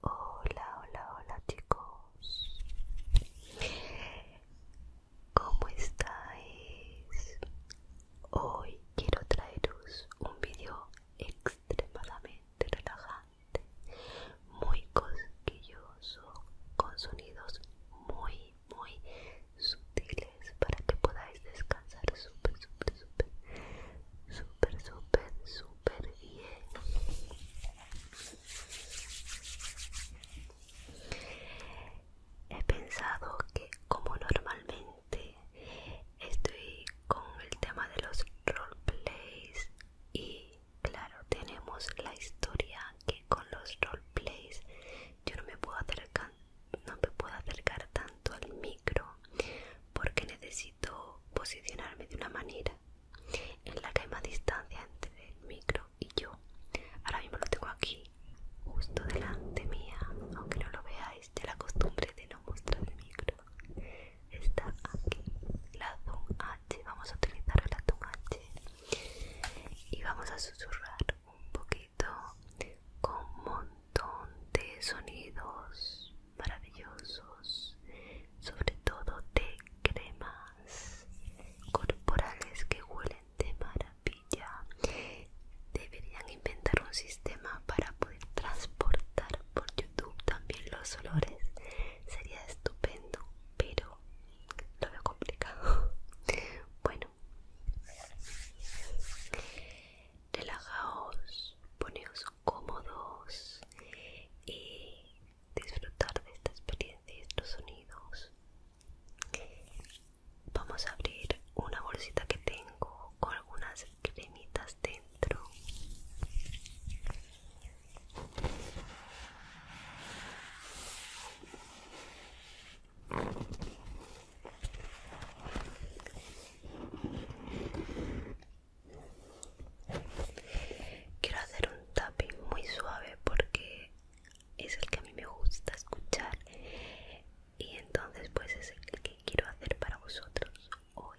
Hola, hola, hola chicos. ¿Cómo estáis? Hoy quiero traeros un vídeo extremadamente relajante, muy cosquilloso, con sonidos muy, muy sutiles para que podáis descansar súper, súper, súper, súper, súper, súper bien. He pensado que como normalmente estoy con el tema de los roleplays y claro tenemos la historia que con los roleplays yo no me puedo acercar no me puedo acercar tanto al micro porque necesito posicionarme de una manera en la que hay más distancia entre el micro y yo. Ahora mismo lo tengo aquí, justo delante mía, aunque no lo veáis, de la costumbre de no mostrar el micro. Está aquí, la H, vamos a utilizar la Zoom H y vamos a susurrar un poquito con un montón de sonidos maravillosos sobre todo de cremas corporales que huelen de maravilla deberían inventar un sistema para poder transportar por youtube también los olores sería estupendo pero lo veo complicado bueno relajaos, poneos cómodos y disfrutar de esta experiencia y estos sonidos. Vamos a abrir una bolsita que tengo con algunas cremitas dentro. Quiero hacer un tapping muy suave porque es el que a mí me gusta escuchar y entonces pues es el que quiero hacer para vosotros hoy.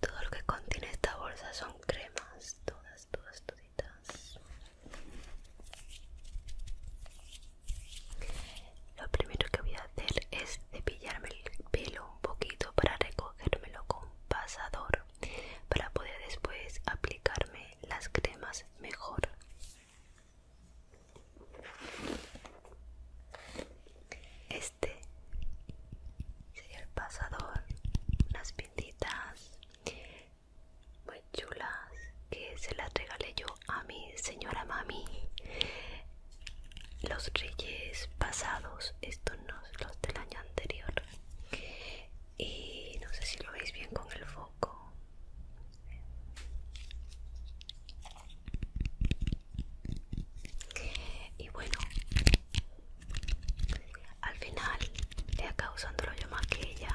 Todo lo que contiene esta bolsa son cremas, todas, todas, toditas. Lo primero que voy a hacer es cepillarme el pelo un poquito para recogérmelo con pasador para poder después aplicarme las cremas mejor. Este sería el pasador, unas pintitas muy chulas que se las regalé yo a mi señora mami los reyes pasados estos no los del año anterior y no sé si lo veis bien con el foco y bueno al final le usando usando yo más que ella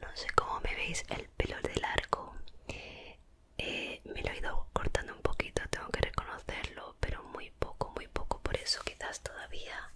No sé cómo me veis el pelo del arco. Eh, me lo he ido cortando un poquito, tengo que reconocerlo, pero muy poco, muy poco. Por eso quizás todavía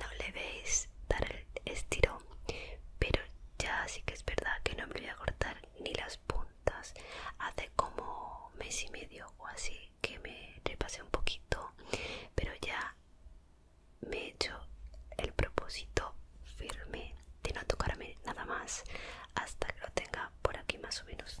no le veis dar el estirón pero ya sí que es verdad que no me voy a cortar ni las puntas hace como mes y medio o así que me repasé un poquito pero ya me he hecho el propósito firme de no tocarme nada más hasta que lo tenga por aquí más o menos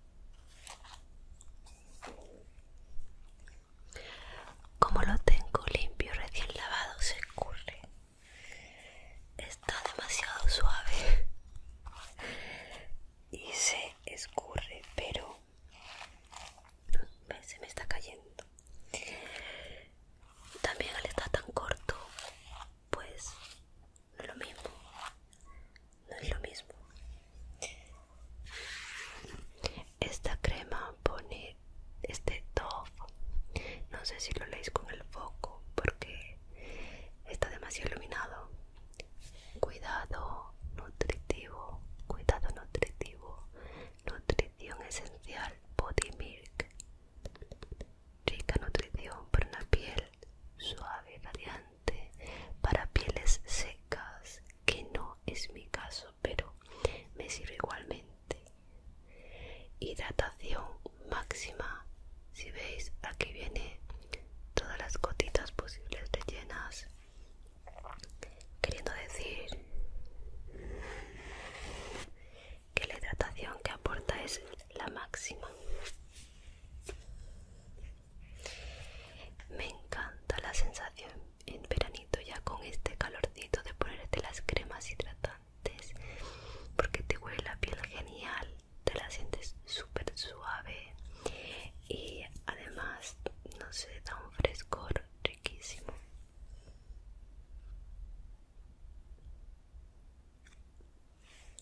Como lo tengo limpio, recién lavado, se escurre. Está demasiado suave y se escurre, pero se me está cayendo. También al estar tan corto, pues lo mismo no es lo mismo. Esta crema pone este top No sé si lo leéis con el foco porque está demasiado iluminado. Cuidado nutritivo, cuidado nutritivo, nutrición esencial, body milk. Rica nutrición para una piel suave, radiante para pieles secas, que no es mi caso, pero me sirve igualmente. Hidratación máxima. Si veis, aquí viene todas las gotitas posibles rellenas. Queriendo decir que la hidratación que aporta es la máxima. Me encanta la sensación en veranito ya con este calorcito de ponerte las cremas hidratantes porque te huele la piel genial, te la sientes súper suave y además no se da un frescor riquísimo.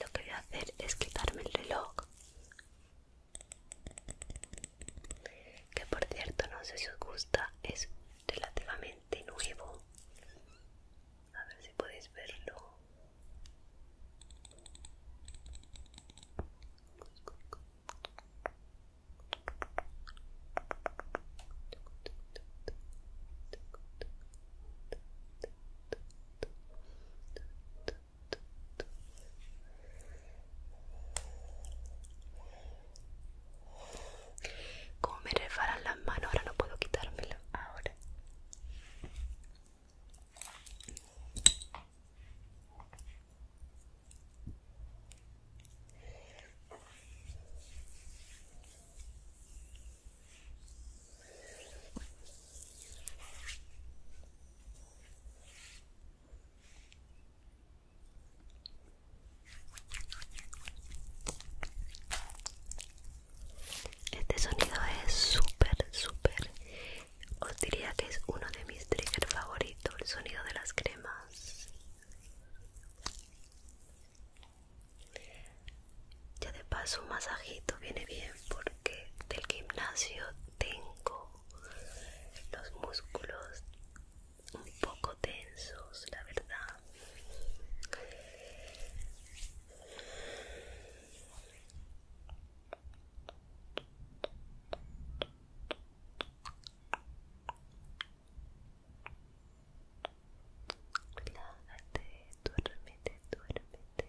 Lo que voy a hacer es quitarme el reloj. Que por cierto, no sé si os gusta, es relativamente nuevo. A ver si podéis verlo. Como me resbalan las manos, ahora no puedo quitármelo. Ahora. Este sonido es súper, súper. Os diría que es uno de mis triggers favoritos, el sonido de las cremas. Ya de paso un masajito viene bien porque del gimnasio tengo los músculos un poco tensos, la verdad duerme duérmete, duérmete. te.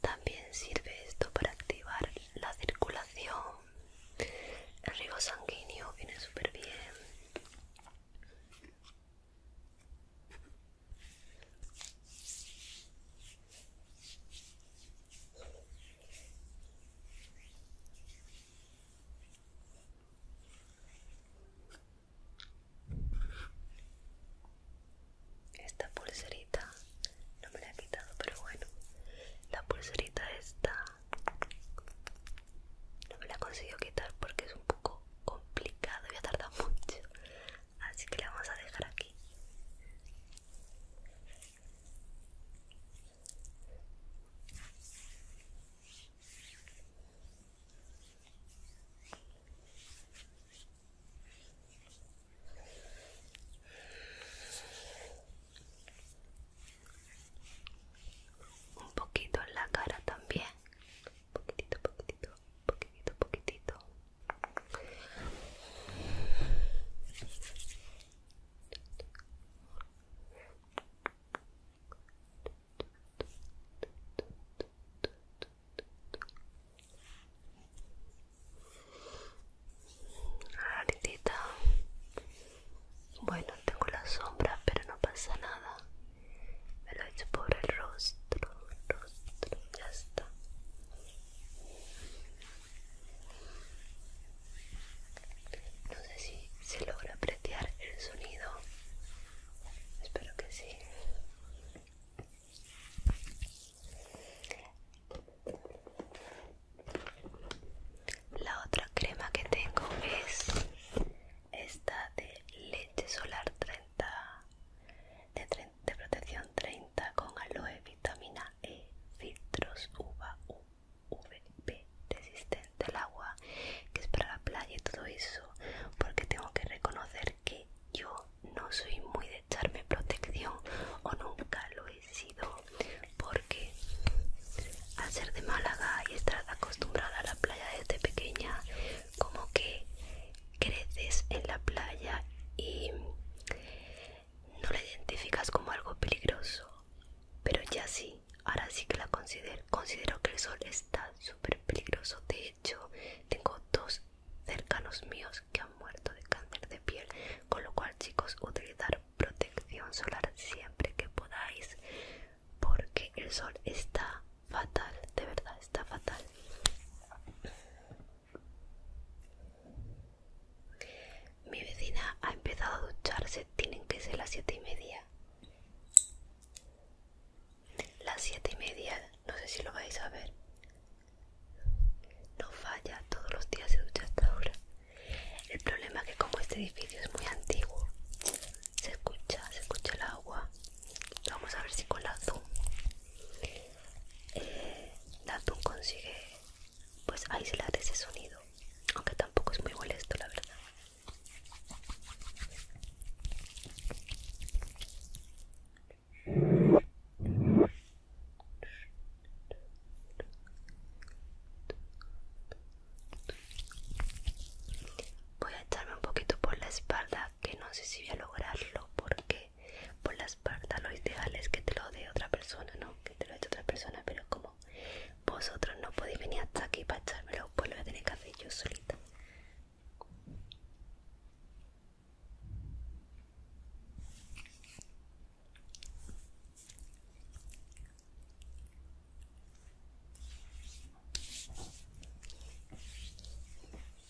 También sirve esto para activar la circulación. El riego sanguíneo viene súper bien. Esta pulserita no me la he quitado, pero bueno, la pulserita esta no me la he conseguido quitar porque es un poco complicado y ha tardado mucho, así que la vamos a dejar aquí. Un poquito en la cara también. Poquitito, poquitito, poquitito, poquitito. Raritita. Bueno, tengo la sombra, pero no pasa nada. Me lo he hecho por el rostro, rostro, ya está. No sé si se logra apreciar el sonido. Espero que sí. La otra crema que tengo es esta de leche solar 30 de, protección 30 con aloe vitamina eh, filtros UVA, resistente al agua, que es para la playa y todo eso, porque tengo que reconocer que yo no soy muy de echarme protección o nunca lo he sido, porque al ser de Málaga y estar acostumbrada a la playa desde pequeña, como que creces en la playa y no la identificas como algo peligroso, pero ya sí, ahora sí que la considero. Considero que el sol está súper peligroso. De hecho, tengo dos cercanos míos que han muerto de cáncer de piel, con lo cual chicos, utilizar protección solar siempre que podáis, porque el sol está fatal, de verdad está fatal. Mi vecina ha empezado a ducharse, tienen que ser las siete y media. Las siete y media, no sé si lo vais a ver. No falla, todos los días se ducha hasta ahora. El problema es que como este edificio es muy antiguo, se escucha, se escucha el agua. Vamos a ver si con la Zoom. Eh, la Zoom consigue pues aislar ese sonido aunque tampoco es muy molesto la verdad Voy a echarme un poquito por la espalda, que no sé si voy a lograrlo porque por la espalda. Lo ideal es que te lo dé otra persona, ¿no? Que te lo eche otra persona, pero como vosotros no podéis venir hasta aquí para echármelo, pues lo voy a tener que hacer yo solita.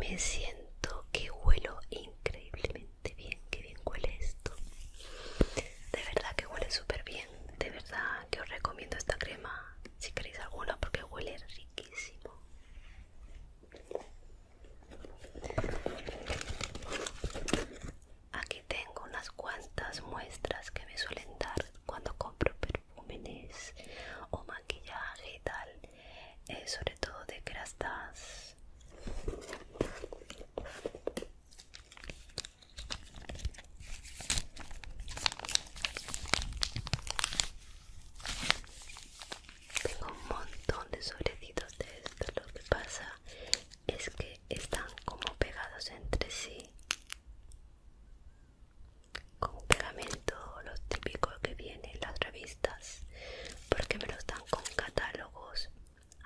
Me siento que huelo increíblemente bien, que bien huele esto. De verdad que huele súper bien. De verdad que os recomiendo esta crema si queréis alguna porque huele riquísimo. Aquí tengo unas cuantas muestras que me suelen dar cuando compro o maquillaje y tal, eh, sobre todo de crastas. Tengo un montón de sobrecitos de esto, lo que pasa es que están como pegados entre sí con pegamento los típicos que vienen las revistas porque me los dan con catálogos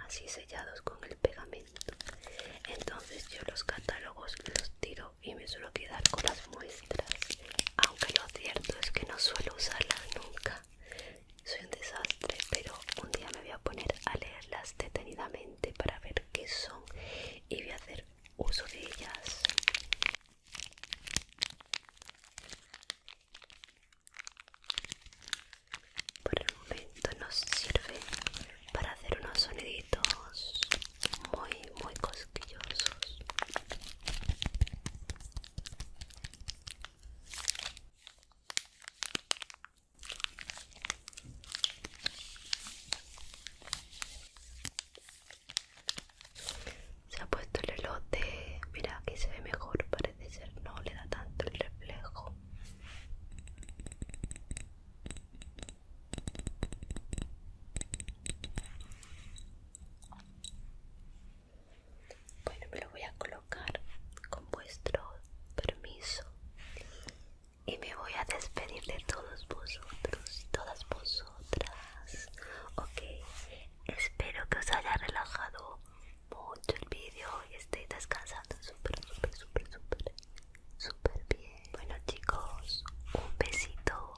así sellados con el pegamento entonces yo los catálogos los tiro y me suelo quedar con las muestras aunque lo cierto es que no suelo usarlas nunca soy un desastre pero un día me voy a poner a leerlas detenidamente para ver qué son y voy a hacer uso de ellas. Por el momento nos sirve para hacer unos soniditos muy, muy cosquillosos. Se ha puesto el elote. Mira, aquí se ve mejor, parece ser. No le da tanto el reflejo. Bueno, me lo voy a colocar con vuestro permiso y me voy a despedir de todos vosotros todas vosotras. Ok, espero que os haya relajado mucho el vídeo y estéis descansando súper, súper, súper, súper, súper bien. Bueno, chicos, un besito.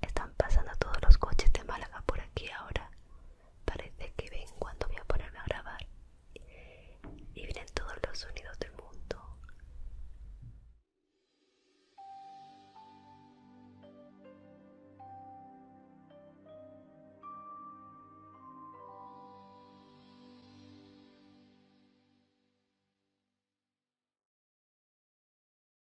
Están pasando todos los coches de Málaga por aquí ahora. Parece que ven cuando voy a ponerme a grabar. Y vienen todos los sonidos del mundo.